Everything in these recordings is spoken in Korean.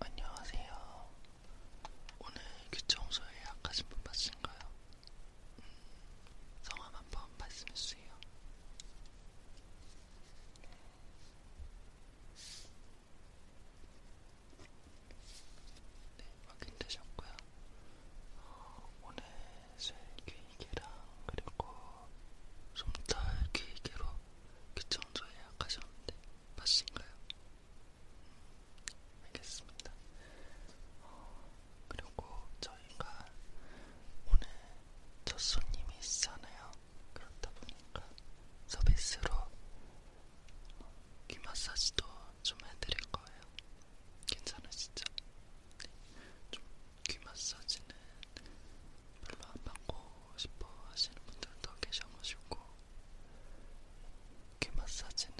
안녕하세요. 오늘 귀청소 예약하신 분 맞으신가요? 음, 성함 한번 말씀해 주세요. 네, 확인되셨고요. 어, 오늘 쇠 귀이개랑 그리고 솜털 귀이개로 귀청소 그 예약하셨는데 맞으신가요? 음, 알겠습니다. 어, 그리고 저희가 오늘 첫 손님이시잖아요. 그렇다 보니까 서비스로 귀 마사지도 좀 해드릴 거예요. 괜찮으시죠? 네. 좀귀 마사지는 별로 안 받고 싶어 하시는 분들도 계셔가지고 귀 마사지는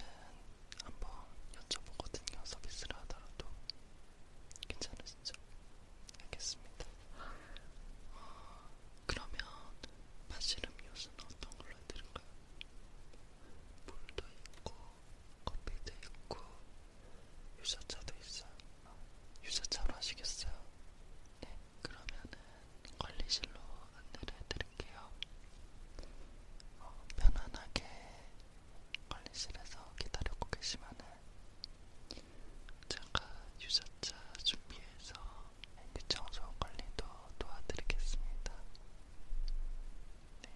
한번 여쭤보거든요. 서비스를 하더라도 괜찮으시죠? 알겠습니다. 어, 그러면 마실 음료수는 어떤 걸로 해드릴까요? 물도 있고 커피도 있고 유자차도 있어요. 유자차로 하시겠어요? 네. 그러면은 관리실로 안내를 해드릴게요. 어, 편안하게 관리실에서 기다리고 계시면은 제가 유자차 준비해서 이 청소 관리도 도와드리겠습니다. 네.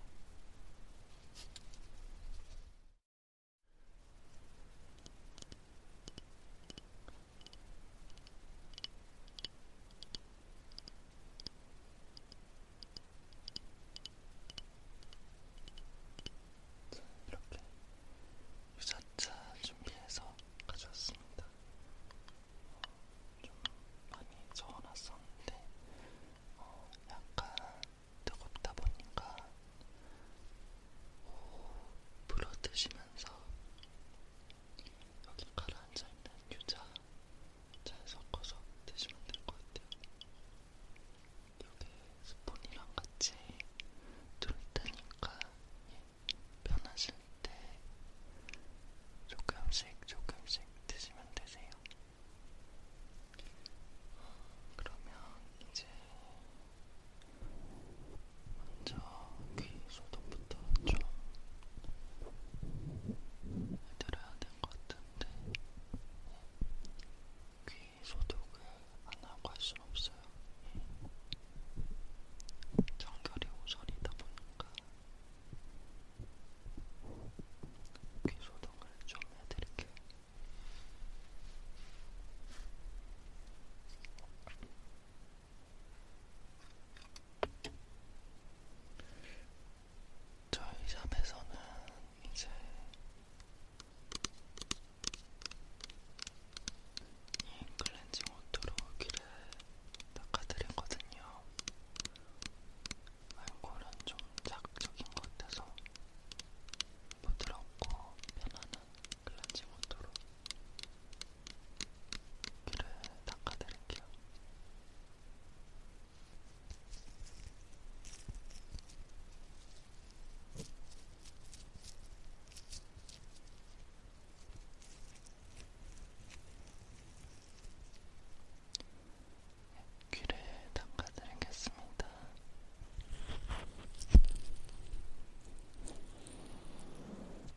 이렇게 유자차 준비해서 가져왔습니다. 어, 좀 많이 저어놨었는데 어, 약간 뜨겁다 보니까 불어 드시면서 여기 가라앉아 있는 유자 잘 섞어서 드시면 될 것 같아요. 이게 스폰이랑 같이 둘 테니까 변하실 예, 때 조금씩 조금씩 드시면 되세요. 그러면 이제 먼저 귀 소독부터 좀 해드려야 될것 같은데 귀 소독을 안 하고 할순 없어요. 정결이 오선이다 보니까 귀 소독을 좀 해드릴게요. 저희 샵에서는 이제 이 클렌징 워터로 귀를 닦아드렸거든요. 알콜은 좀 자극적인 것 같아서 부드럽고 편안한 클렌징 워터로 귀를 닦아드릴게요. 귀를 닦아드리겠습니다.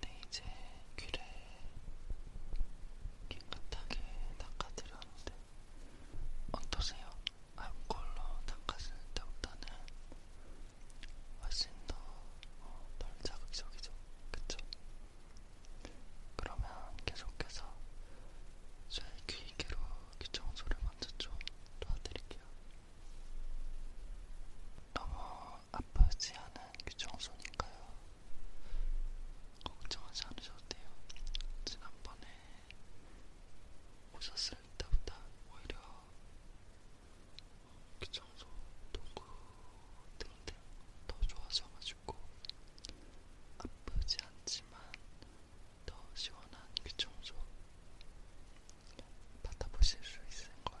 네, 이제 귀를 깨끗하게 닦아드렸는데 어떠세요? 알콜로 닦았을 때보다는 훨씬 더덜 어, 자극적이죠? 그쵸? 그러면 계속해서 제귀 기계로 귀청소를 먼저 좀 도와드릴게요. 너무 아프지 않은 귀청소니까요. 걱정하지 않으셔도 돼요. 지난번에 오셨을 때보다 오히려 귀청소 도구 등등 더 좋아져가지고 아프지 않지만 더 시원한 귀청소 받아보실 수 있을 거예요.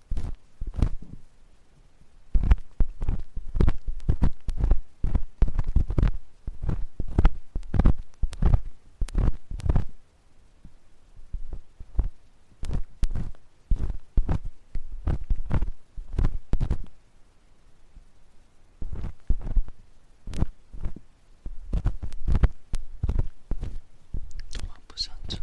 너무 아프지 않죠?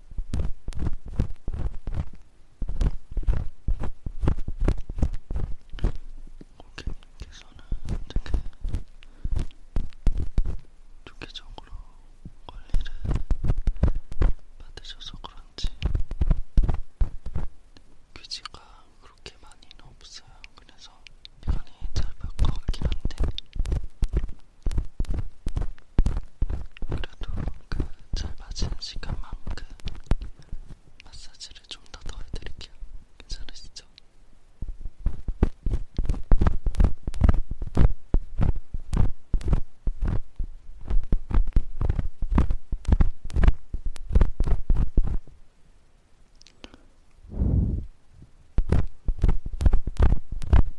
고객님께서는 되게 주기적으로 관리를 받으셔서 그런지 귀지가 그렇게 많이는 없어요. 그래서 시간이 짧을 것 같긴 한데 그래도 그잘 맞은 시간만큼 마사지를 좀 더 더해드릴게요. 괜찮으시죠?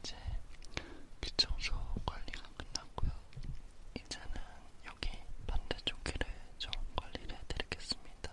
이제 귀청소 관리가 끝났고요. 이제는 여기 반대쪽 귀를 좀 관리를 해드리겠습니다.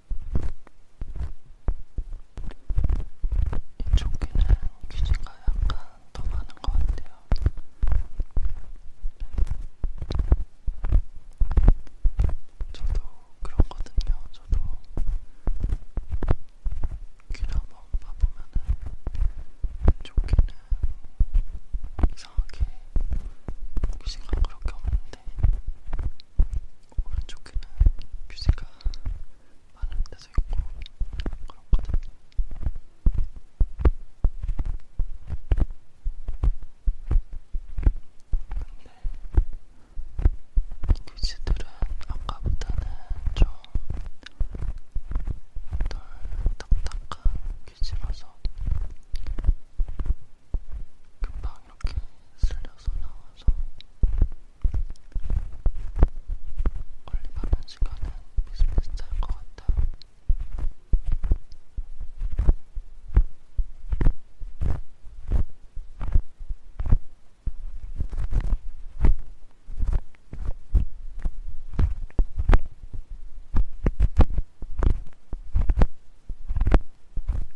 이쪽 귀는 귀지가 약간 더 많은 것 같아요. 저도 그렇거든요. 저도 귀를 한번 봐보면은 왼쪽 귀는 이상하게 귀지가 그렇게 없는데 오른쪽 귀는 뮤지가 많은 데서 있고 그렇거든요. 근데 뮤지들은 아까보다는 좀 덜 딱딱한 뮤지라서 금방 막 이렇게 쓸려서 나와서 원래 밤에 시간은 비슷비슷할 것 같아요.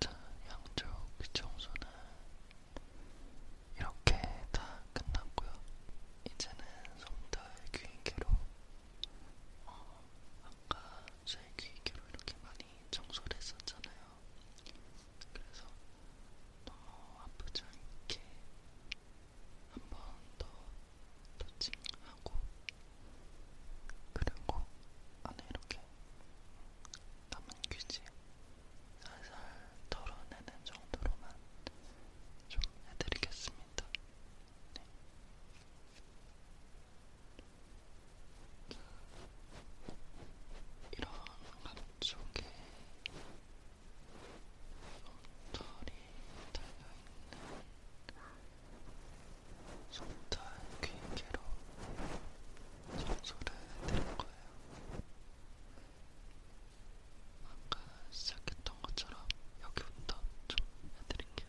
자, 양쪽 귀청소는 이렇게 다 끝났고요. 이제는 솜털 귀인계로 어, 아까 제 귀인계로 이렇게 많이 청소를 했었잖아요. 그래서 너무 아프지 않게 한 번더 터칭하고 그리고 안에 이렇게 남은 귀지 살살 털어내는 정도로만 좀 해드리겠습니다. 네. 이런 감쪽에 솜털이 달려있는 솜털 귀개로 청소를 해드릴 거예요. 아까 시작했던 것처럼 여기부터 좀 해드릴게요.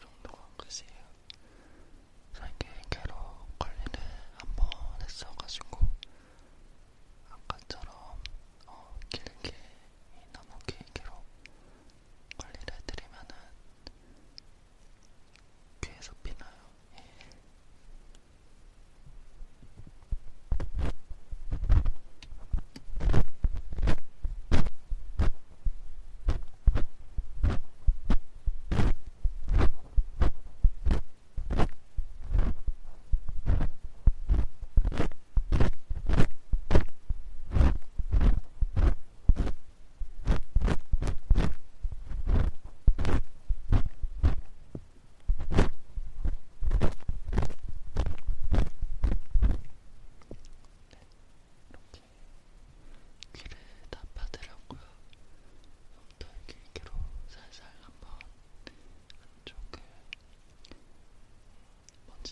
정도가 글쎄요. 살게 괴로 관리를 한번 했어가지고 아까처럼 어, 길게 너무 길게로 관리를 해드리면은 귀에서 피나요. 예. 이렇게 귀를 다파드렸고요. 좀더 길게로 살살 한번 안쪽을 먼지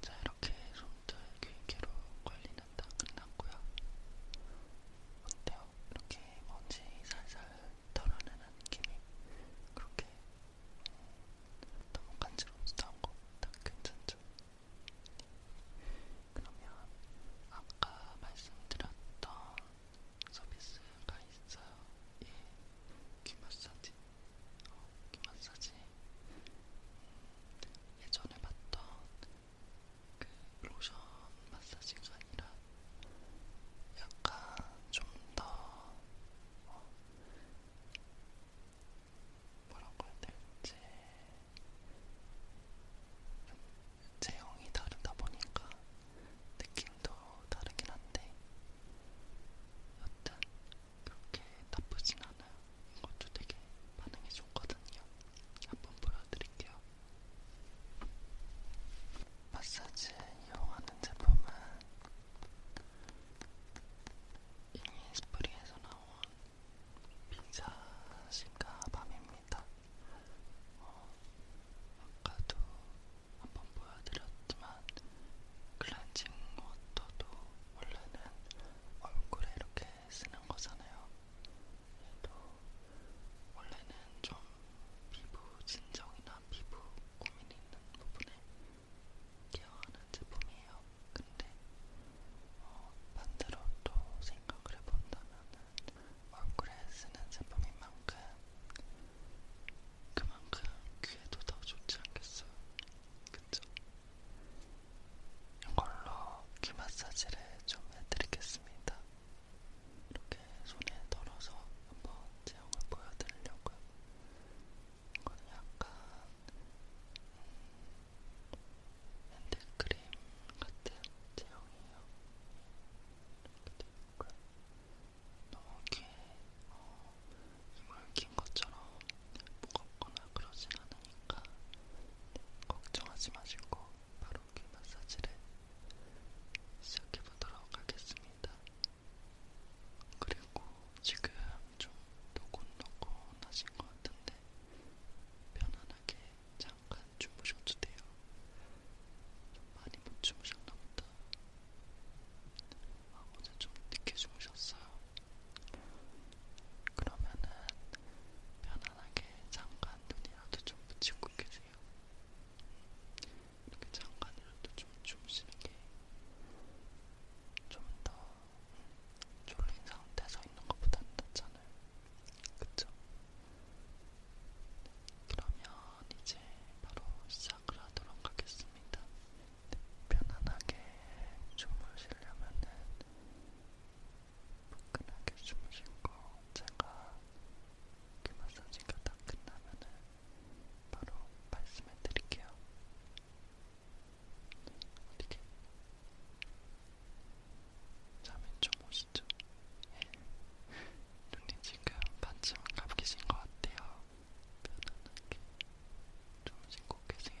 자, 이렇게 손톱 귀개로 관리는 다 끝났고요. 어때요? 이렇게 먼지 살살 털어내는 느낌이 그렇게 음, 너무 간지러워서 나온 거딱 괜찮죠? 그러면 아까 말씀드렸던 서비스가 있어요. 예, 귀 마사지. 어, 귀 마사지. 음, 예전에 봤던 그 로션 마사지가 아니라 약간 좀더 어, 뭐라고 해야 될지 제형이 다르다 보니까 느낌도 다르긴 한데 여튼 그렇게 나쁘진 않아요. 이것도 되게 반응이 좋거든요. 한번 보여드릴게요. 마사지 이용하는 제품은 이미 스프리에서 나온 비자신가 밤입니다. 어, 아까도 한번 보여드렸지만 클렌징 워터도 원래는 얼굴에 이렇게 쓰는 거잖아요. 그래도 원래는 좀 피부 진정이나 피부 고민이 있는 부분에 케어하는 제품이에요. 근데 어, 반대로 또 생각을 해본다면 얼굴에 쓰는 제품인 만큼 그만큼 귀에도 더 좋지 않겠어요? 그쵸? 이걸로 귀 마사지를 좀 해드리겠습니다. 이렇게 손에 덜어서 한번 제형을 보여드리려고요. 이건 약간 음, 핸드크림 같은 제형이에요. 이렇게 되어있고요. 너무 귀에 어, 힘을 긴 것처럼 무겁거나 그러진 않으니까 네, 걱정하지 마시고 바로 귀 마사지를 시작해보도록 하겠습니다. 그리고 지금 좀 노곤노곤 하신 것 같은데 편안한 편하게 잠깐 주무셔도 돼요. 좀 많이 못 주무셨나 보다. 아, 어제 좀 늦게 주무셨어요. 그러면은 편안하게 잠깐 눈이라도 좀 붙이고 계세요. 이렇게 잠깐이라도 좀 주무시는 게좀 더 졸린 상태에서 있는 것보다 낫잖아요. 그쵸? 그러면 이제 바로 시작을 하도록 하겠습니다. 네, 편안하게 주무시려면은 포근하게 주무시고 제가 그 마사지가 다 끝나면은 바로 말씀해 드릴게요. 어떻게? 잠이 좀 오시죠? 예. 눈이 지금 반쯤 감기신 것 같아요. 편안하게 좀 쉬고 계세요.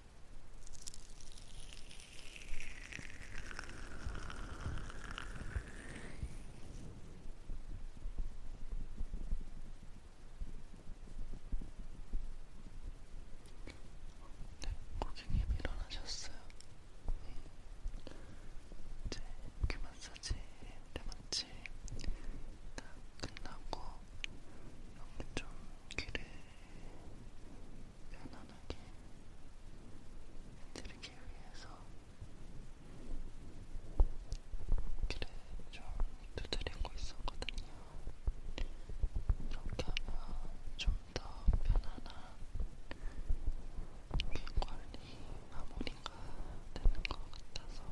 네, 고객님 일어나셨어요. 네. 이제 귀 마사지 때마치 다 끝나고 여기 좀 귀를 편안하게 해드리기 위해서 귀를 좀 두드리고 있었거든요. 이렇게 하면 좀 더 편안한 귀 그 관리 마무리가 되는 것 같아서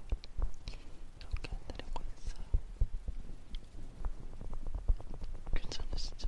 이렇게 해드리고 있어요. 괜찮으시죠?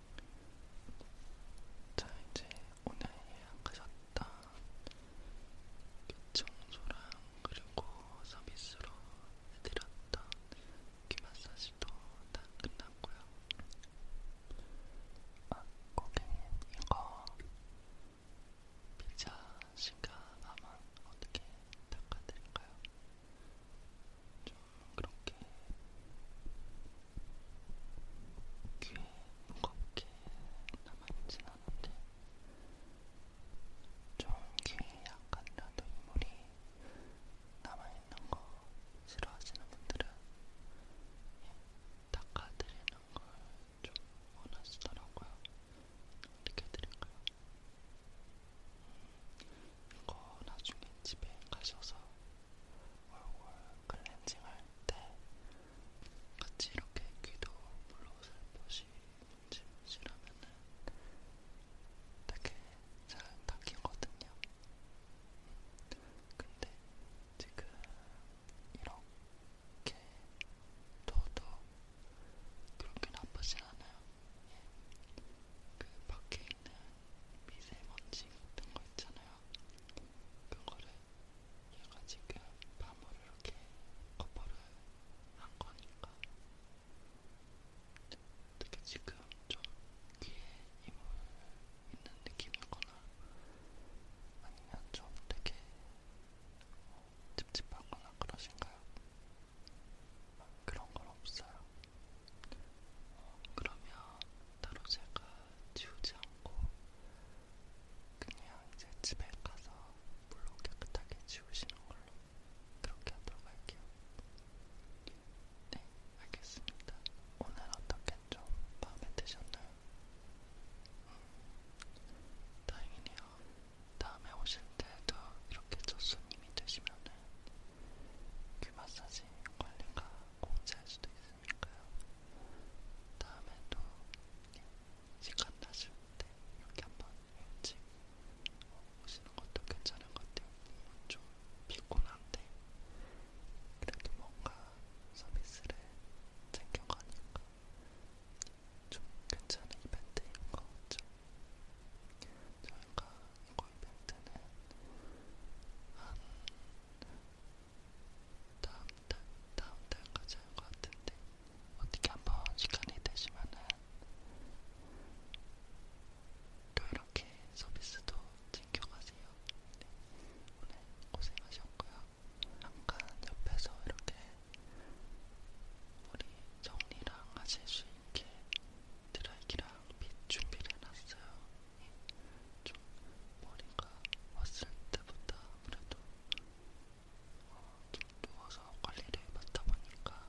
자, 이제 오늘 예약하셨던 귀청소랑 그리고 서비스로 해드렸던 귀마사지도 다 끝났고요. 아, 고객님, 이거 피자 시가나만 어떻게 닦아드릴까요? 좀 그렇게 귀에 무겁게 남아있진 않은데 좀 귀에 약간이라도 이물이 남아있는 거 싫어하시는 분들은 닦아드리는 걸 좀 원하시더라고요. 어떻게 드릴까요? 음, 이거 나중에 집에 가셔서 얼굴 클렌징 할 때 같이 이렇게 귀도 물로 살포시 문질문질하면은 되게 잘 닦이거든요. 근데 지금 이렇게 더도 그렇게 나쁘진 않아요. 그 밖에 있는 미세먼지 같은 거 있잖아요. 그거를 얘가 지금 밤으로 이렇게 커버를 한 거니까 어떻게 지금 좀 귀에 힘을 있는 느낌이거나 아니면 좀 되게 어, 찝찝하거나 그러신가요? 그런 건 없어요. 어, 그러면 따로 제가 지우지 않고 그냥 이제 집에 가서 물로 깨끗하게 지우시는 걸로 그렇게 하도록 할게요. 네, 알겠습니다. 오늘 어떻게 좀 마음에 드셨나요? 음, 다행이네요. 다음에 오실 때도 이렇게 첫 손님이 되시면은 귀 그 마사지 관리가 공짜일 수도 있어요. 있으니까요. 다음에도 시간 나실 때 이렇게 한번 일찍 오시는 것도 괜찮은 것 같아요. 좀 피곤한데 그래도 뭔가 서비스를 챙겨가니까 좀 괜찮은 이벤트인 것 같죠. 저희가 이거 이벤트는 한 다음 달, 다음 달까지 할 것 같은데 어떻게 한번 시간이 되시면은 또 이렇게 서비스도 챙겨가세요. 네. 오늘 고생하셨고요. 잠깐 옆에서 이렇게 우리 정리랑 하실 수 있게 드라이기랑 빗 준비를 해놨어요. 좀 머리가 왔을 때보다 아무래도 어, 좀 누워서 관리를 받다 보니까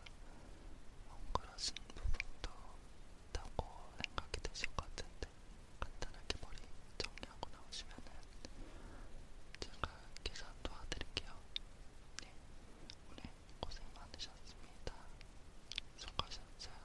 엉그러진 부분도 있다고 생각이 드실 것 같은데 간단하게 머리 정리하고 나오시면은 제가 계산 도와드릴게요. 네, 오늘 고생 많으셨습니다. 수고하셨어요.